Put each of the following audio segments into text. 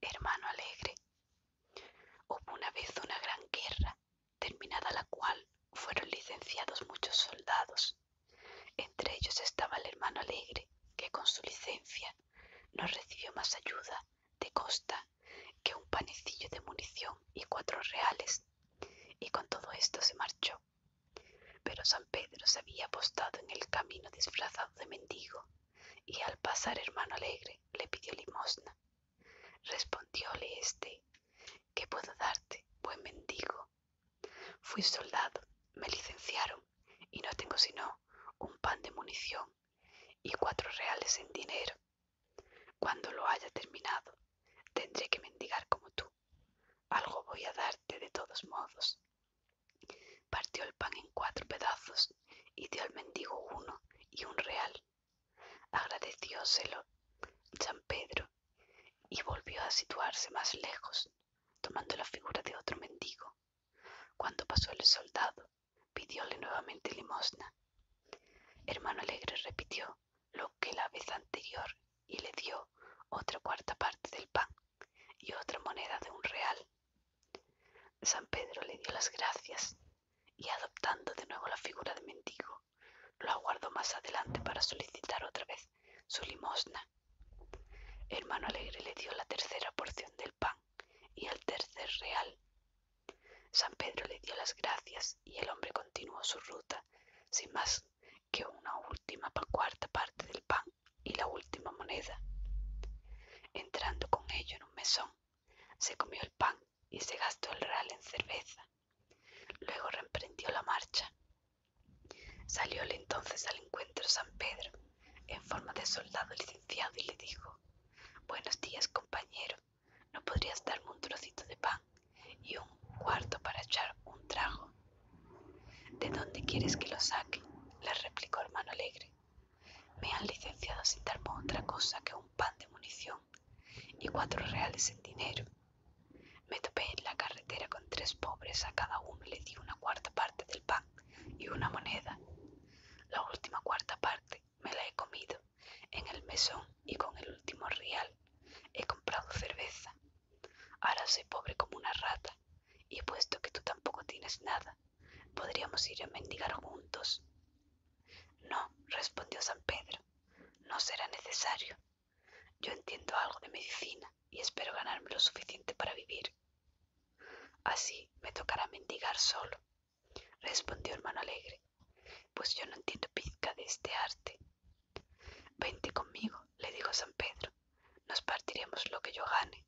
Hermano Alegre. Hubo una vez una gran guerra, terminada la cual fueron licenciados muchos soldados. Entre ellos estaba el hermano Alegre, que con su licencia no recibió más ayuda de costa que un panecillo de munición y cuatro reales, y con todo esto se marchó. Pero San Pedro se había apostado en el camino disfrazado de mendigo y al pasar hermano alegre le pidió limosna. Respondióle éste, ¿qué puedo darte, buen mendigo? Fui soldado, me licenciaron y no tengo sino un pan de munición y cuatro reales en dinero. Cuando lo haya terminado, tendré que mendigar como tú. Algo voy a darte de todos modos, Partió el pan en cuatro pedazos y dio al mendigo uno y un real. Agradecióselo San Pedro y volvió a situarse más lejos, tomando la figura de otro mendigo. Cuando pasó el soldado, pidióle nuevamente limosna. Hermano Alegre repitió lo que la vez anterior y le dio otra cuarta parte del pan y otra moneda de un real. San Pedro le dio las gracias y adoptando de nuevo la figura de mendigo, lo aguardó más adelante para solicitar otra vez su limosna. Hermano Alegre le dio la tercera porción del pan y el tercer real. San Pedro le dio las gracias y el hombre continuó su ruta sin más que una última cuarta parte del pan y la última moneda. Entrando con ello en un mesón, se comió el pan y se gastó el real en cerveza. Luego reemprendió la marcha. Salióle entonces al encuentro San Pedro, en forma de soldado licenciado, y le dijo, Buenos días, compañero. ¿No podrías darme un trocito de pan y un cuarto para echar un trago? ¿De dónde quieres que lo saque? le replicó hermano alegre. Me han licenciado sin darme otra cosa que un pan de munición y cuatro reales en dinero. Me topé en la carretera con tres pobres, a cada uno le di una cuarta parte del pan y una moneda. La última cuarta parte me la he comido en el mesón y con el último real he comprado cerveza. Ahora soy pobre como una rata y puesto que tú tampoco tienes nada. Podríamos ir a mendigar juntos. No, respondió San Pedro, no será necesario. Yo entiendo algo de medicina y espero ganarme lo suficiente para vivir. Así me tocará mendigar solo, respondió hermano alegre, pues yo no entiendo pizca de este arte. Vente conmigo, le dijo San Pedro, nos partiremos lo que yo gane.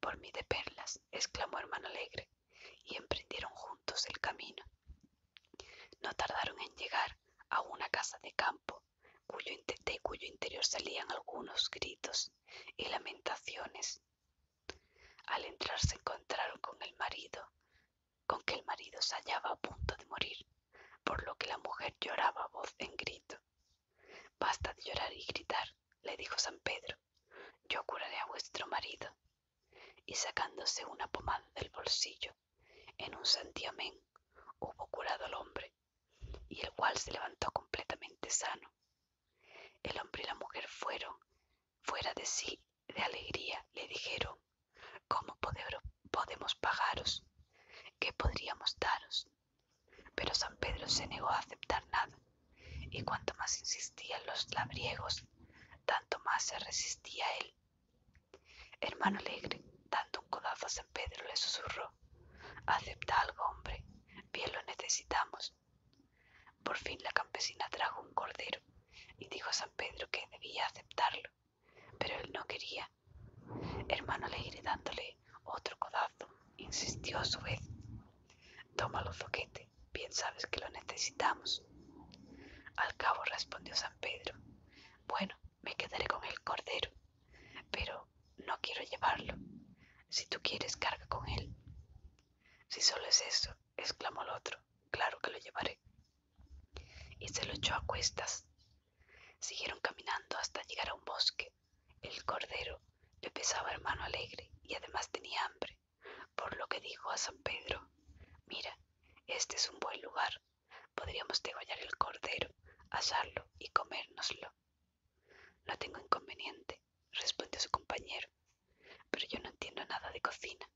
Por mí de perlas, exclamó Hermano Alegre, y emprendieron juntos el camino. No tardaron en llegar a una casa de campo, cuyo de cuyo interior salían algunos gritos y lamentaciones. Al entrar se encontraron con el marido, con que el marido se hallaba a punto de morir, por lo que la mujer lloraba a voz en grito. Basta de llorar y gritar, le dijo San Pedro, yo curaré a vuestro marido. Y sacándose una pomada del bolsillo, en un santiamén hubo curado al hombre, y el cual se levantó completamente sano. El hombre y la mujer fueron, fuera de sí, de alegría, le dijeron, ¿cómo podemos pagaros? ¿Qué podríamos daros? Pero San Pedro se negó a aceptar nada, y cuanto más insistían los labriegos, tanto más se resistía él. Hermano Alegre, dando un codazo a San Pedro, le susurró, acepta algo, hombre, bien lo necesitamos. Por fin la campesina trajo un cordero y dijo a San Pedro que debía aceptarlo, pero él no quería. Hermano Alegre, dándole otro codazo, insistió a su vez. Tómalo, zoquete, bien sabes que lo necesitamos. Al cabo respondió San Pedro. Bueno, me quedaré con el cordero, pero no quiero llevarlo. Si tú quieres, carga con él. Si solo es eso, exclamó el otro, claro que lo llevaré. Y se lo echó a cuestas. Siguieron caminando hasta llegar a un bosque. El cordero le pesaba hermano alegre y además tenía hambre, por lo que dijo a San Pedro, mira, este es un buen lugar, podríamos degollar el cordero, asarlo y comérnoslo. No tengo inconveniente, respondió su compañero, pero yo no entiendo nada de cocina.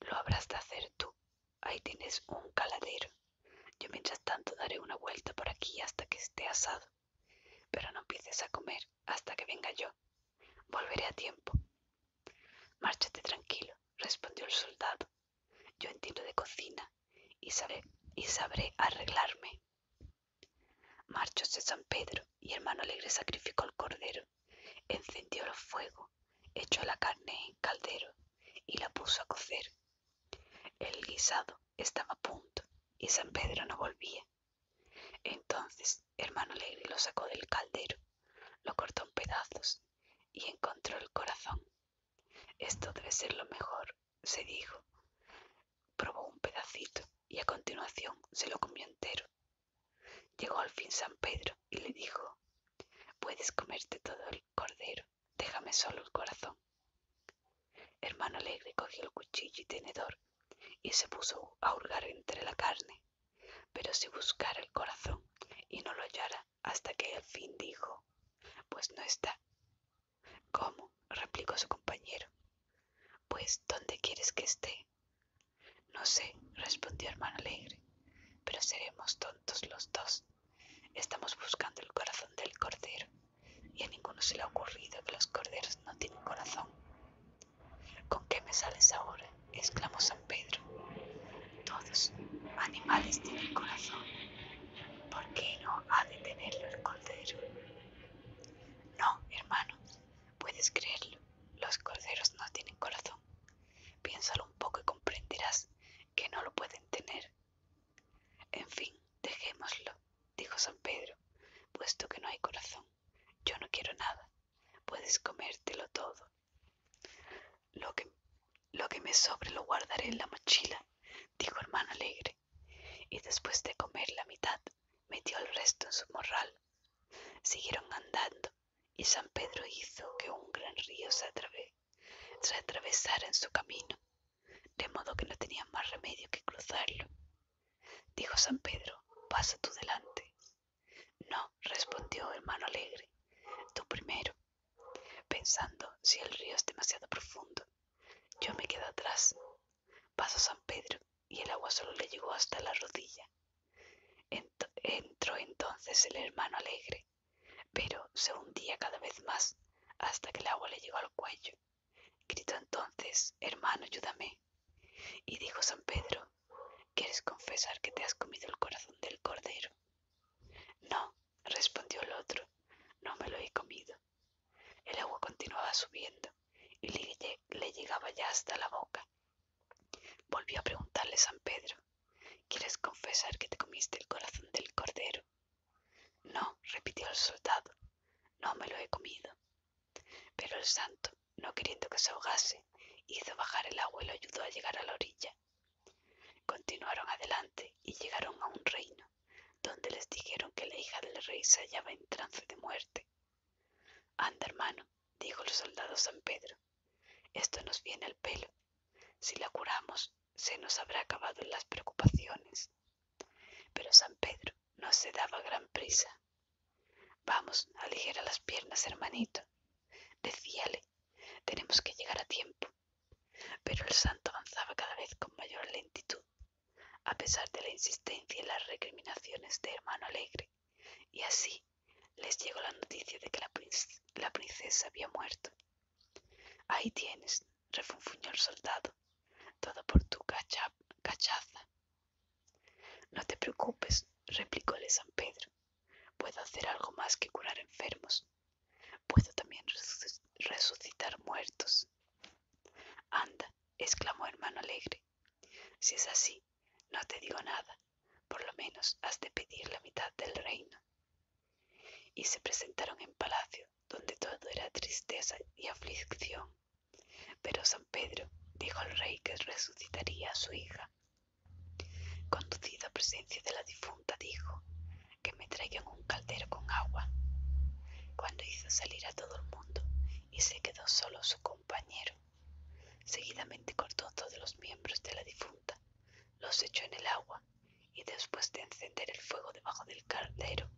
Lo habrás de hacer tú. Ahí tienes un caladero. Yo mientras tanto daré una vuelta por aquí hasta que esté asado. Pero no empieces a comer hasta que venga yo. Volveré a tiempo. Márchate tranquilo, respondió el soldado. Yo entiendo de cocina y sabré, arreglarme. Marchóse San Pedro y hermano alegre sacrificó el cordero, encendió el fuego, echó la carne en caldero y la puso a cocer. El guisado estaba a punto y San Pedro no volvía. Entonces Hermano Alegre lo sacó del caldero, lo cortó en pedazos y encontró el corazón. Esto debe ser lo mejor, se dijo. Probó un pedacito y a continuación se lo comió entero. Llegó al fin San Pedro y le dijo, puedes comerte todo el cordero, déjame solo el corazón. Hermano Alegre cogió el cuchillo y tenedor y se puso a hurgar entre la carne, pero si buscara el corazón y no lo hallara hasta que al fin dijo, pues no está. ¿Cómo? replicó su compañero. Pues, ¿dónde quieres que esté? No sé, respondió hermano alegre, pero seremos tontos los dos. Estamos buscando el corazón del cordero y a ninguno se le ha ocurrido que los corderos no tienen corazón. ¿Con qué me sales ahora? exclamó San Pedro. Todos animales tienen corazón. ¿Por qué no ha de tenerlo el cordero? No, hermano, puedes creerlo. Los corderos no tienen corazón. Piénsalo un poco y comprenderás que no lo pueden tener. En fin, dejémoslo, dijo San Pedro, puesto que no hay corazón. Yo no quiero nada. Puedes comértelo todo. Lo que, me sobre lo guardaré en la mochila, dijo hermano alegre, y después de comer la mitad, metió el resto en su morral. Siguieron andando, y San Pedro hizo que un gran río se atravesara en su camino de modo que no tenía más remedio que cruzarlo. Dijo San Pedro, pasa tú delante. No, respondió hermano alegre, tú primero, pensando si el río es demasiado profundo. Yo me quedo atrás. Pasó San Pedro y el agua solo le llegó hasta la rodilla. entró entonces el hermano alegre, pero se hundía cada vez más hasta que el agua le llegó al cuello. Gritó entonces, hermano, ayúdame. Y dijo San Pedro, ¿quieres confesar que te has comido el corazón del cordero? No, respondió el otro, no me lo he comido. El agua continuaba subiendo y le, le llegaba ya hasta la boca. Volvió a preguntarle San Pedro, ¿quieres confesar que te comiste el corazón del cordero? No, repitió el soldado, no me lo he comido. Pero el santo, no queriendo que se ahogase, hizo bajar el agua y lo ayudó a llegar a la orilla. Continuaron adelante y llegaron a un reino, donde les dijeron que la hija del rey se hallaba en trance de muerte. Anda, hermano, dijo el soldado San Pedro, esto nos viene al pelo. Si la curamos, se nos habrá acabado las preocupaciones. Pero San Pedro no se daba gran prisa. Vamos, a aligera las piernas, hermanito. Decíale, tenemos que llegar a tiempo. Pero el santo avanzaba cada vez con mayor lentitud, a pesar de la insistencia y las recriminaciones de hermano alegre. Y así les llegó la noticia de que la princesa había muerto. Ahí tienes, refunfuñó el soldado. Todo por tu cachaza. No te preocupes, replicó replicóle San Pedro. Puedo hacer algo más que curar enfermos. Puedo también resucitar muertos. Anda, exclamó hermano alegre. Si es así, no te digo nada. Por lo menos has de pedir la mitad del reino. Y se presentaron en palacio, donde todo era tristeza y aflicción. Pero San Pedro dijo al rey que resucitaría a su hija. Conducido a presencia de la difunta, dijo que me traigan un caldero con agua. Cuando hizo salir a todo el mundo y se quedó solo su compañero, seguidamente cortó todos los miembros de la difunta, los echó en el agua y después de encender el fuego debajo del caldero,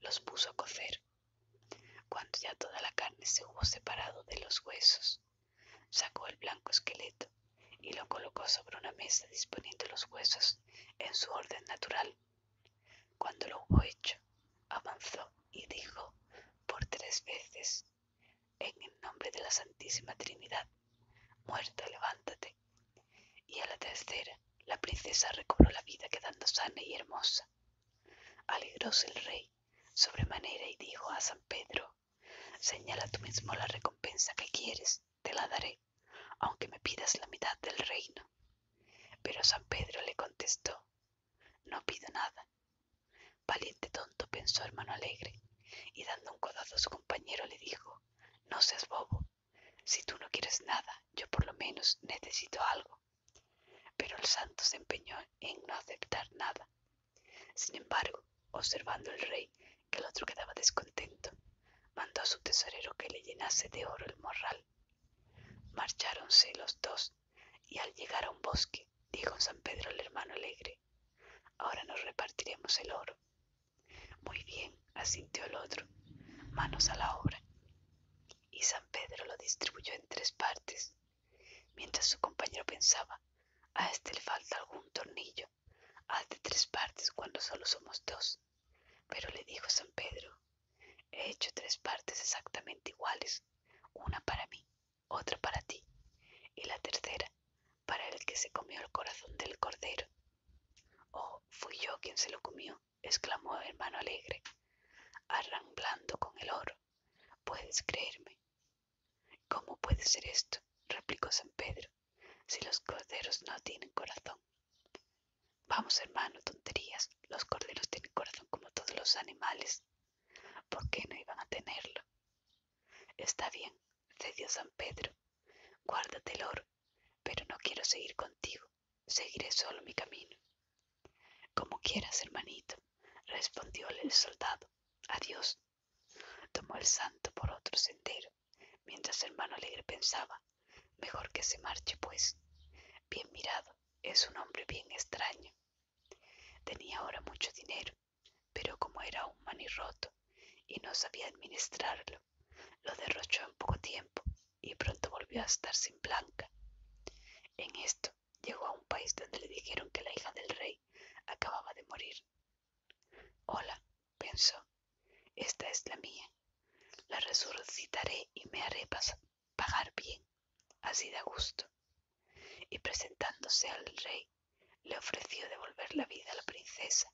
los puso a cocer. Cuando ya toda la carne se hubo separado de los huesos, sacó el blanco esqueleto y lo colocó sobre una mesa disponiendo los huesos en su orden natural. Cuando lo hubo hecho, avanzó y dijo por tres veces, en el nombre de la Santísima Trinidad, muerto, levántate. Y a la tercera, la princesa recobró la vida quedando sana y hermosa. Alegróse el rey sobremanera y dijo a San Pedro, señala tú mismo la recompensa que quieres, te la daré, aunque me pidas la mitad del reino. Pero San Pedro le contestó, no pido nada. Valiente tonto, pensó hermano alegre, y dando un codazo a su compañero le dijo, no seas bobo, si tú no quieres nada, yo por lo menos necesito algo. Pero el santo se empeñó en no aceptar nada. Sin embargo, observando el rey que el otro quedaba descontento, mandó a su tesorero que le llenase de oro el morral. Marcháronse los dos y al llegar a un bosque, dijo San Pedro al hermano alegre, ahora nos repartiremos el oro. Muy bien, asintió el otro. Manos a la obra. Y San Pedro lo distribuyó en tres partes. Mientras su compañero pensaba, a este le falta algún tornillo. Haz de tres partes cuando solo somos dos. Pero le dijo San Pedro, he hecho tres partes exactamente iguales, una para mí, otra para ti, y la tercera para el que se comió el corazón del cordero. Oh, fui yo quien se lo comió, exclamó hermano alegre, arramblando con el oro. ¿Puedes creerme? ¿Cómo puede ser esto? replicó San Pedro, si los corderos no tienen corazón. Vamos, hermano, tonterías. Los corderos tienen corazón como todos los animales. ¿Por qué no iban a tenerlo? Está bien, cedió San Pedro. Guárdate el oro, pero no quiero seguir contigo seguiré solo mi camino. Como quieras, hermanito, respondióle el soldado. Adiós. Tomó el santo por otro sendero, mientras el hermano alegre pensaba, mejor que se marche, pues. Bien mirado, es un hombre bien extraño. Tenía ahora mucho dinero, pero como era un manirroto y no sabía administrarlo, lo derrochó en poco tiempo y pronto volvió a estar sin Blanca. En esto llegó a un país donde le dijeron que la hija del rey acababa de morir. Hola, pensó, esta es la mía. La resucitaré y me haré pagar bien, así da gusto. Y presentándose al rey, le ofreció devolver la vida a la princesa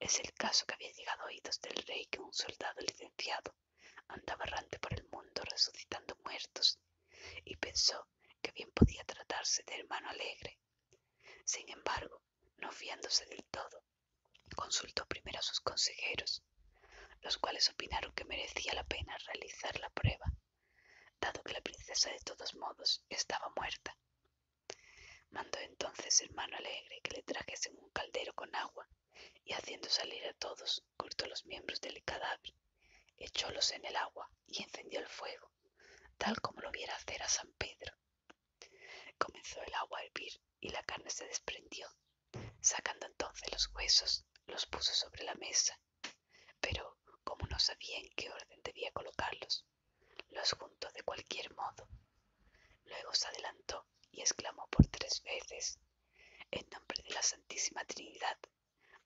es el caso que había llegado a oídos del rey que un soldado licenciado andaba errante por el mundo resucitando muertos y pensó que bien podía tratarse de hermano alegre. Sin embargo, no fiándose del todo, consultó primero a sus consejeros, los cuales opinaron que merecía la pena realizar la prueba, dado que la princesa de todos modos estaba muerta. Mandó entonces hermano alegre que le trajesen un caldero con agua y haciendo salir a todos, cortó los miembros del cadáver, echólos en el agua y encendió el fuego, tal como lo viera hacer a San Pedro. Comenzó el agua a hervir y la carne se desprendió. Sacando entonces los huesos, los puso sobre la mesa, pero como no sabía en qué orden debía colocarlos, los juntó de cualquier modo. Luego se adelantó y exclamó por tres veces, en nombre de la Santísima Trinidad,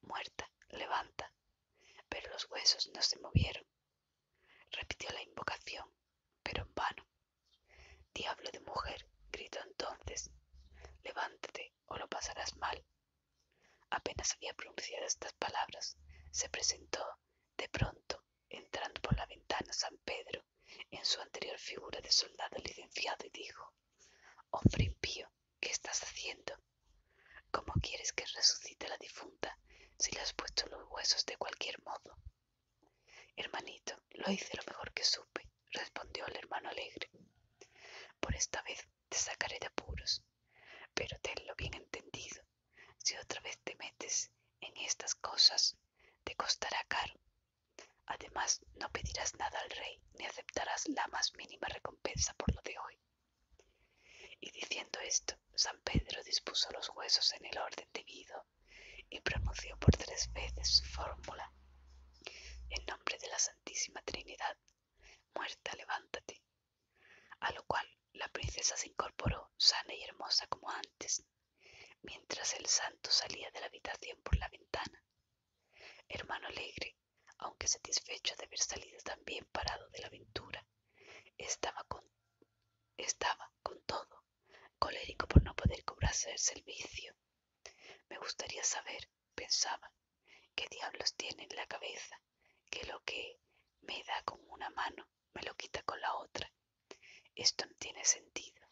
muerta, levanta. Pero los huesos no se movieron. Repitió la invocación, pero en vano. Diablo de mujer, gritó entonces, levántate o lo pasarás mal. Apenas había pronunciado estas palabras, se presentó, de pronto, entrando por la ventana San Pedro en su anterior figura de soldado licenciado dijo, Hombre impío, ¿qué estás haciendo? ¿Cómo quieres que resucite la difunta si le has puesto los huesos de cualquier modo? Hermanito, lo hice lo mejor que supe, respondió el hermano alegre. Por esta vez te sacaré de apuros, pero tenlo bien entendido. Si otra vez te metes en estas cosas, te costará caro, Además, no pedirás nada al rey, ni aceptarás la más mínima recompensa por lo de hoy. Y diciendo esto, San Pedro dispuso los huesos en el orden debido y pronunció por tres veces su fórmula. En nombre de la Santísima Trinidad, muerta, levántate. A lo cual la princesa se incorporó sana y hermosa como antes, mientras el santo salía de la habitación por la ventana. Hermano alegre, aunque satisfecho de haber salido tan bien parado de la aventura, estaba con, con todo, colérico por no poder cobrarse el servicio. Me gustaría saber, pensaba, qué diablos tiene en la cabeza, que lo que me da con una mano me lo quita con la otra. Esto no tiene sentido.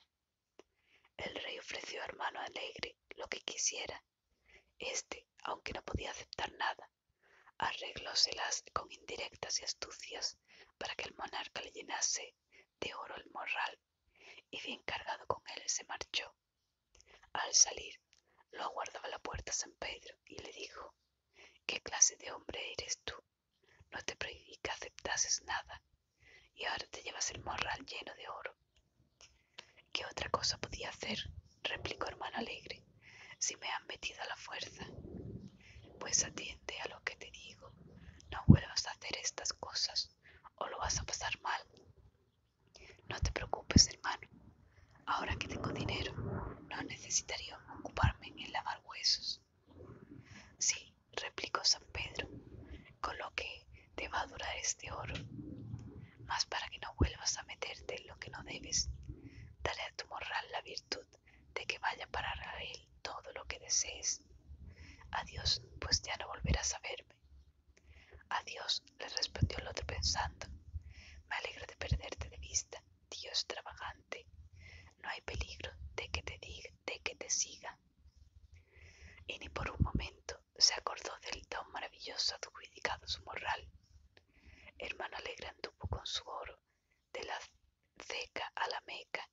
El rey ofreció a hermano alegre lo que quisiera. Este, aunque no podía aceptar nada, arreglóselas con indirectas y astucias para que el monarca le llenase de oro el morral, y bien cargado con él se marchó. Al salir, lo aguardaba la puerta San Pedro y le dijo, ¿Qué clase de hombre eres tú? no te prohibí que aceptases nada y ahora te llevas el morral lleno de oro. ¿Qué otra cosa podía hacer? replicó hermano alegre, si me han metido a la fuerza. Pues atiende a lo que te digo, no vuelvas a hacer estas cosas o lo vas a pasar mal. No te preocupes, hermano. Ahora que tengo dinero, no necesitaría ocuparme en lavar huesos. Sí, replicó San Pedro, con lo que te va a durar este oro. Mas para que no vuelvas a meterte en lo que no debes, dale a tu morral la virtud de que vaya para él todo lo que desees. Adiós, pues ya no volverás a verme. Adiós, le respondió el otro pensando. Me alegro de perderte de vista, Dios trabajante no hay peligro de que te diga, de que te siga. Y ni por un momento se acordó del don maravilloso adjudicado a su moral. Hermano Alegre anduvo con su oro de la ceca a la meca,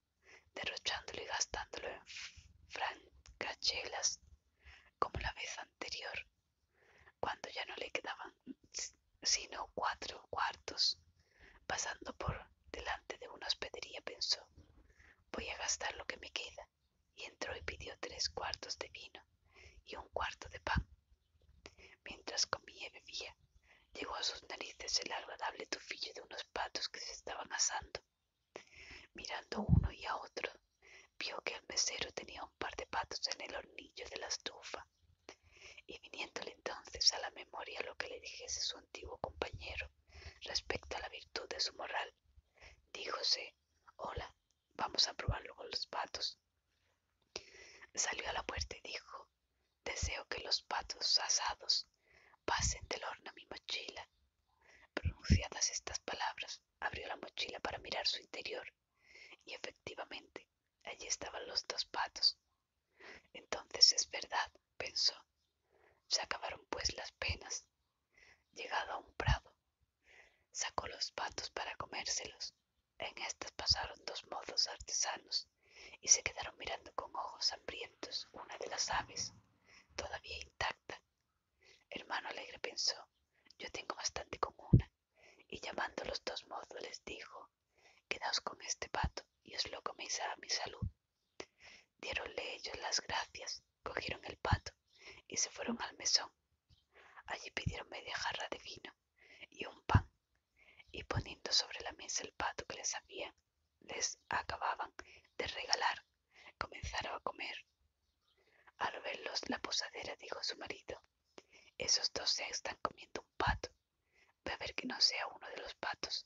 derrochándolo y gastándolo en francachelas, como la vez anterior, cuando ya no le quedaban sino cuatro cuartos. Pasando por delante de una hospedería pensó, voy a gastar lo que me queda, y entró y pidió tres cuartos de vino y un cuarto de pan. Mientras comía y bebía, llegó a sus narices el agradable tufillo de unos patos que se estaban asando. Mirando uno y a otro, vio que el mesero tenía un par de patos en el hornillo de la estufa, y viniéndole entonces a la memoria lo que le dijese su antiguo compañero, respecto a la virtud de su moral. Díjose, hola, vamos a probarlo con los patos. Salió a la puerta y dijo, deseo que los patos asados pasen del horno a mi mochila. Pronunciadas estas palabras, abrió la mochila para mirar su interior y efectivamente allí estaban los dos patos entonces es verdad, pensó. Se acabaron pues las penas. Llegado a un prado, sacó los patos para comérselos. En estas pasaron dos mozos artesanos y se quedaron mirando con ojos hambrientos una de las aves, todavía intacta. Hermano Alegre pensó, yo tengo bastante con una, y llamando a los dos mozos les dijo, quedaos con este pato y os lo coméis a mi salud. Diéronle ellos las gracias, cogieron el pato y se fueron al mesón. Allí pidieron media jarra de vino y un pan, y poniendo sobre la mesa el pato que les había les acababan de regalar, comenzaron a comer. Al verlos, la posadera dijo a su marido, esos dos se están comiendo un pato a ver que no sea uno de los patos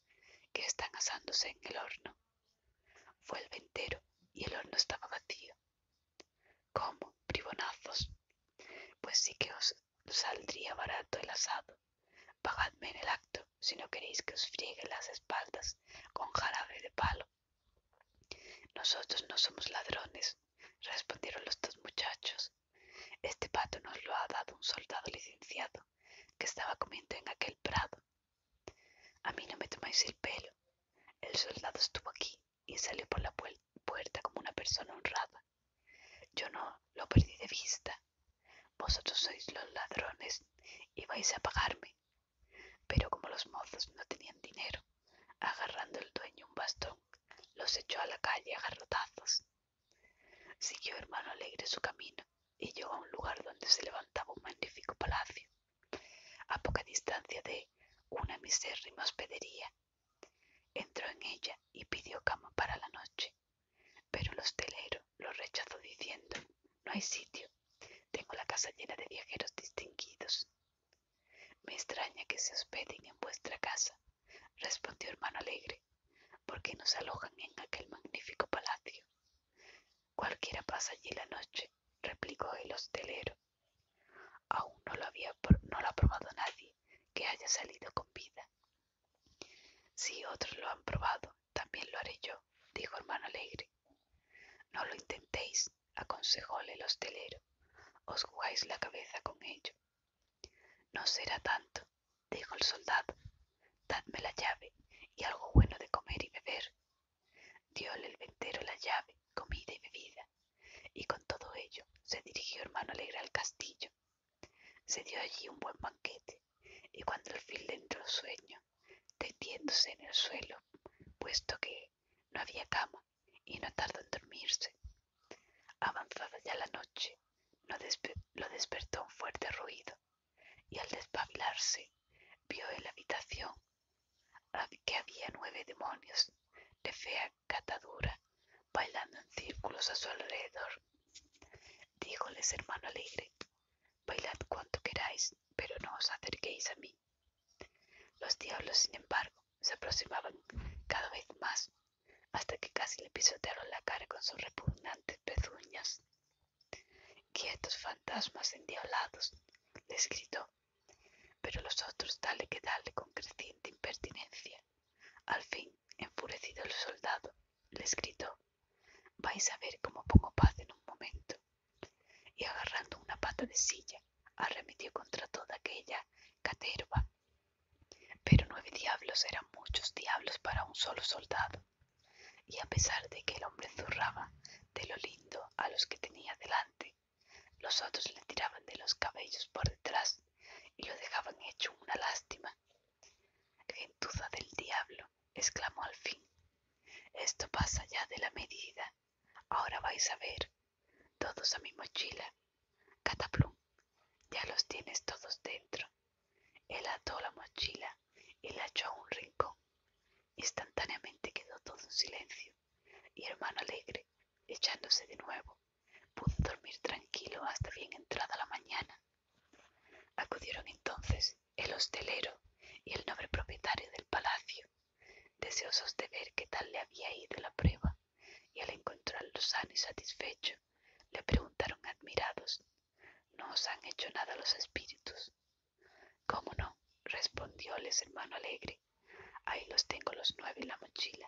que están asándose en el horno. Fue el ventero y el horno estaba vacío. ¿Cómo, bribonazos? Pues sí que os saldría barato el asado. Pagadme en el acto si no queréis que os friegue las espaldas con jarabe de palo. Nosotros no somos ladrones, respondieron los dos muchachos. Este pato nos lo ha dado un soldado licenciado que estaba comiendo en aquel prado. A mí no me tomáis el pelo. El soldado estuvo aquí y salió por la puerta como una persona honrada. Yo no lo perdí de vista. Vosotros sois los ladrones y vais a pagarme. Pero como los mozos no tenían dinero, agarrando el dueño un bastón, los echó a la calle a garrotazos. Siguió hermano alegre su camino y llegó a un lugar donde se levantaba un magnífico palacio, a poca distancia de una misérrima hospedería. Entró en ella y pidió cama para la noche, pero el hostelero lo rechazó diciendo, no hay sitio, tengo la casa llena de viajeros distinguidos. Me extraña que se hospeden en vuestra casa, respondió hermano alegre qué porque nos alojan en aquel magnífico palacio. Cualquiera pasa allí la noche, replicó el hostelero. Aún no lo había no ha probado nadie que haya salido con vida. Si otros lo han probado, también lo haré yo, dijo hermano alegre. No lo intentéis, aconsejóle el hostelero. Os jugáis la cabeza con ello. No será tanto, dijo el soldado, dadme la llave y algo bueno de comer y beber. Dióle el ventero la llave, comida y bebida, y con todo ello se dirigió hermano alegre al castillo. Se dio allí un buen banquete, y cuando al fin le entró sueño, tendiéndose en el suelo, puesto que no había cama y no tardó en dormirse. Avanzada ya la noche, lo despertó un fuerte ruido y al despabilarse vio en la habitación que había nueve demonios de fea catadura bailando en círculos a su alrededor. Dígoles, hermano alegre, bailad cuanto queráis, pero no os acerquéis a mí. Los diablos, sin embargo, se aproximaban cada vez más, hasta que casi le pisotearon la cara con sus repugnantes pezuñas. Quietos fantasmas endiablados, les gritó, pero los otros dale que dale con creciente impertinencia. Al fin, enfurecido el soldado, les gritó, vais a ver cómo pongo paz en un momento. Y agarrando una pata de silla, arremetió contra toda aquella caterva. Pero nueve diablos eran muchos diablos para un solo soldado. Y a pesar de que el hombre zurraba de lo lindo a los que tenía delante, los otros le tiraban de los cabellos por detrás y lo dejaban hecho una lástima. Gentuza del diablo, exclamó al fin. Esto pasa ya de la medida. Ahora vais a ver. Todos a mi mochila. Cataplum, ya los tienes todos dentro. Él ató la mochila y la echó a un rincón. Instantáneamente quedó todo en silencio y hermano alegre, echándose de nuevo, pudo dormir tranquilo hasta bien entrada la mañana. Acudieron entonces el hostelero y el noble propietario del palacio, deseosos de ver qué tal le había ido la prueba, y al encontrarlo sano y satisfecho, le preguntaron admirados no os han hecho nada los espíritus. ¿Cómo no? respondióles hermano alegre. Ahí los tengo los nueve en la mochila.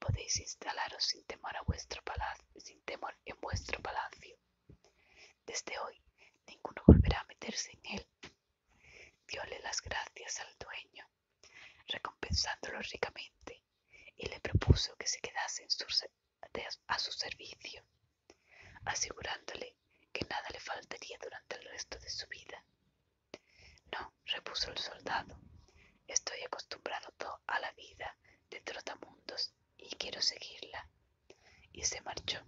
Podéis instalaros sin temor, a vuestro palacio, sin temor en vuestro palacio. Desde hoy ninguno volverá a meterse en él. Diole las gracias al dueño, recompensándolo ricamente, y le propuso que se quedase en su a su servicio, asegurándole que nada le faltaría durante el resto de su vida. No, repuso el soldado, estoy acostumbrado a la vida de trotamundos y quiero seguirla. Y se marchó.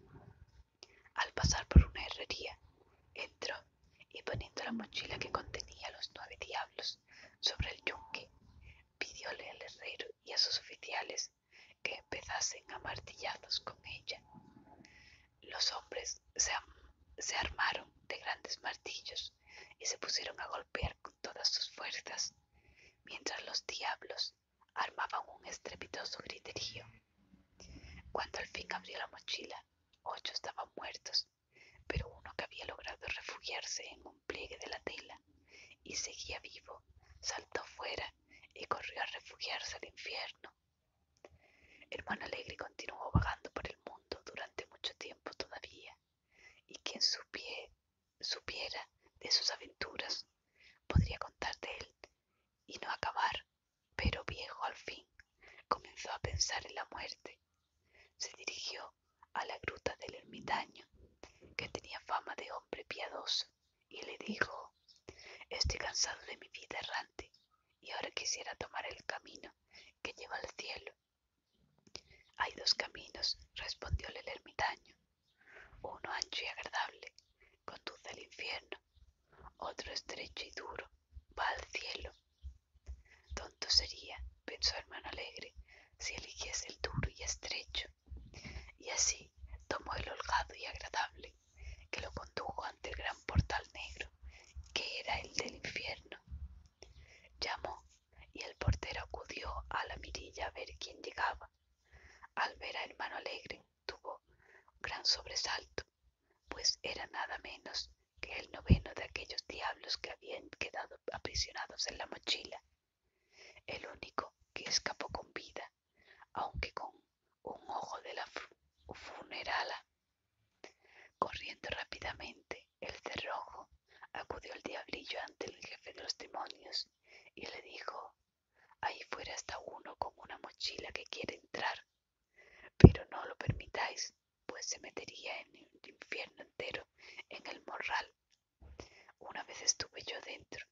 Al pasar por una herrería, entró y poniendo la mochila que contenía los nueve diablos sobre el yunque, pidióle al herrero y a sus oficiales que empezasen a martillazos con ella. Los hombres se, armaron de grandes martillos y se pusieron a golpear con todas sus fuerzas, mientras los diablos armaban un estrepitoso griterío. Cuando al fin abrió la mochila, ocho estaban muertos, pero uno que había logrado refugiarse en un pliegue de la tela y seguía vivo, saltó fuera y corrió a refugiarse al infierno. Hermano Alegre continuó vagando por el mundo durante mucho tiempo todavía, y quien supiera de sus aventuras podría contar de él y no acabar, pero viejo al fin comenzó a pensar en la muerte. Se dirigió a la gruta del ermitaño, que tenía fama de hombre piadoso, y le dijo, Estoy cansado de mi vida errante, y ahora quisiera tomar el camino que lleva al cielo. Hay dos caminos, respondióle el ermitaño. Uno ancho y agradable, conduce al infierno. Otro estrecho y duro, va al cielo. Tonto sería, pensó hermano alegre, si eligiese el duro y estrecho, y así tomó el holgado y agradable, que lo condujo ante el gran portal negro, que era el del infierno. Llamó, y el portero acudió a la mirilla a ver quién llegaba. Al ver a hermano alegre, tuvo un gran sobresalto, pues era nada menos que el noveno de aquellos diablos que habían quedado aprisionados en la mochila el único que escapó con vida, aunque con un ojo de la funerala. Corriendo rápidamente el cerrojo, acudió el diablillo ante el jefe de los demonios y le dijo, ahí fuera está uno con una mochila que quiere entrar, pero no lo permitáis, pues se metería en el infierno entero en el morral una vez estuve yo dentro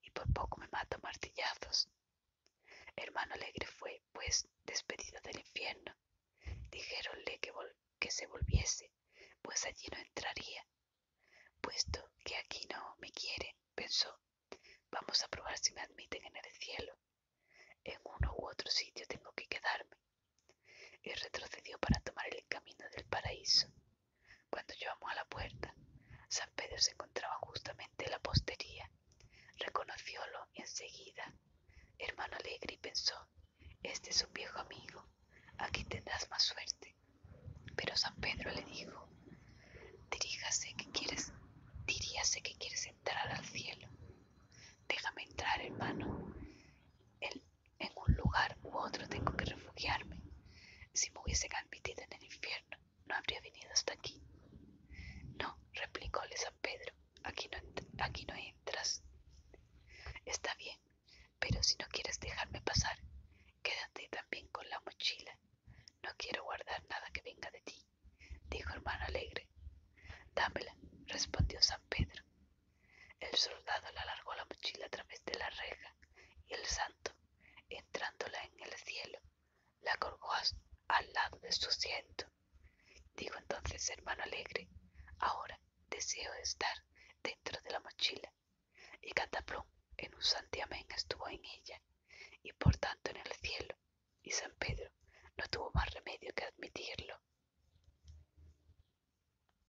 y por poco me mato martillazos. Hermano Alegre fue, pues, despedido del infierno. Dijéronle que, que se volviese, pues allí no entraría. Puesto que aquí no me quieren, pensó, vamos a probar si me admiten en el cielo. En uno u otro sitio tengo que quedarme. Y retrocedió para tomar el camino del paraíso. Cuando llamó a la puerta, San Pedro se encontraba justamente en la postería. Reconociólo enseguida. Hermano alegre y pensó, este es un viejo amigo, aquí tendrás más suerte. Pero San Pedro le dijo, diríjase que quieres, diríase que quieres entrar al cielo. Déjame entrar, hermano. En un lugar u otro tengo que refugiarme. Si me hubiesen admitido en el infierno, no habría venido hasta aquí. No, replicóle San Pedro, aquí no, aquí no entras. Está bien, pero si no quieres dejarme pasar, quédate también con la mochila. No quiero guardar nada que venga de ti, dijo hermano alegre. Dámela, respondió San Pedro. El soldado le alargó la mochila a través de la reja y el santo, entrándola en el cielo, la colgó al lado de su asiento. Dijo entonces, hermano alegre, ahora deseo estar dentro de la mochila. Y Cataplum en un santiamén estuvo en ella, y por tanto en el cielo, y San Pedro no tuvo más remedio que admitirlo.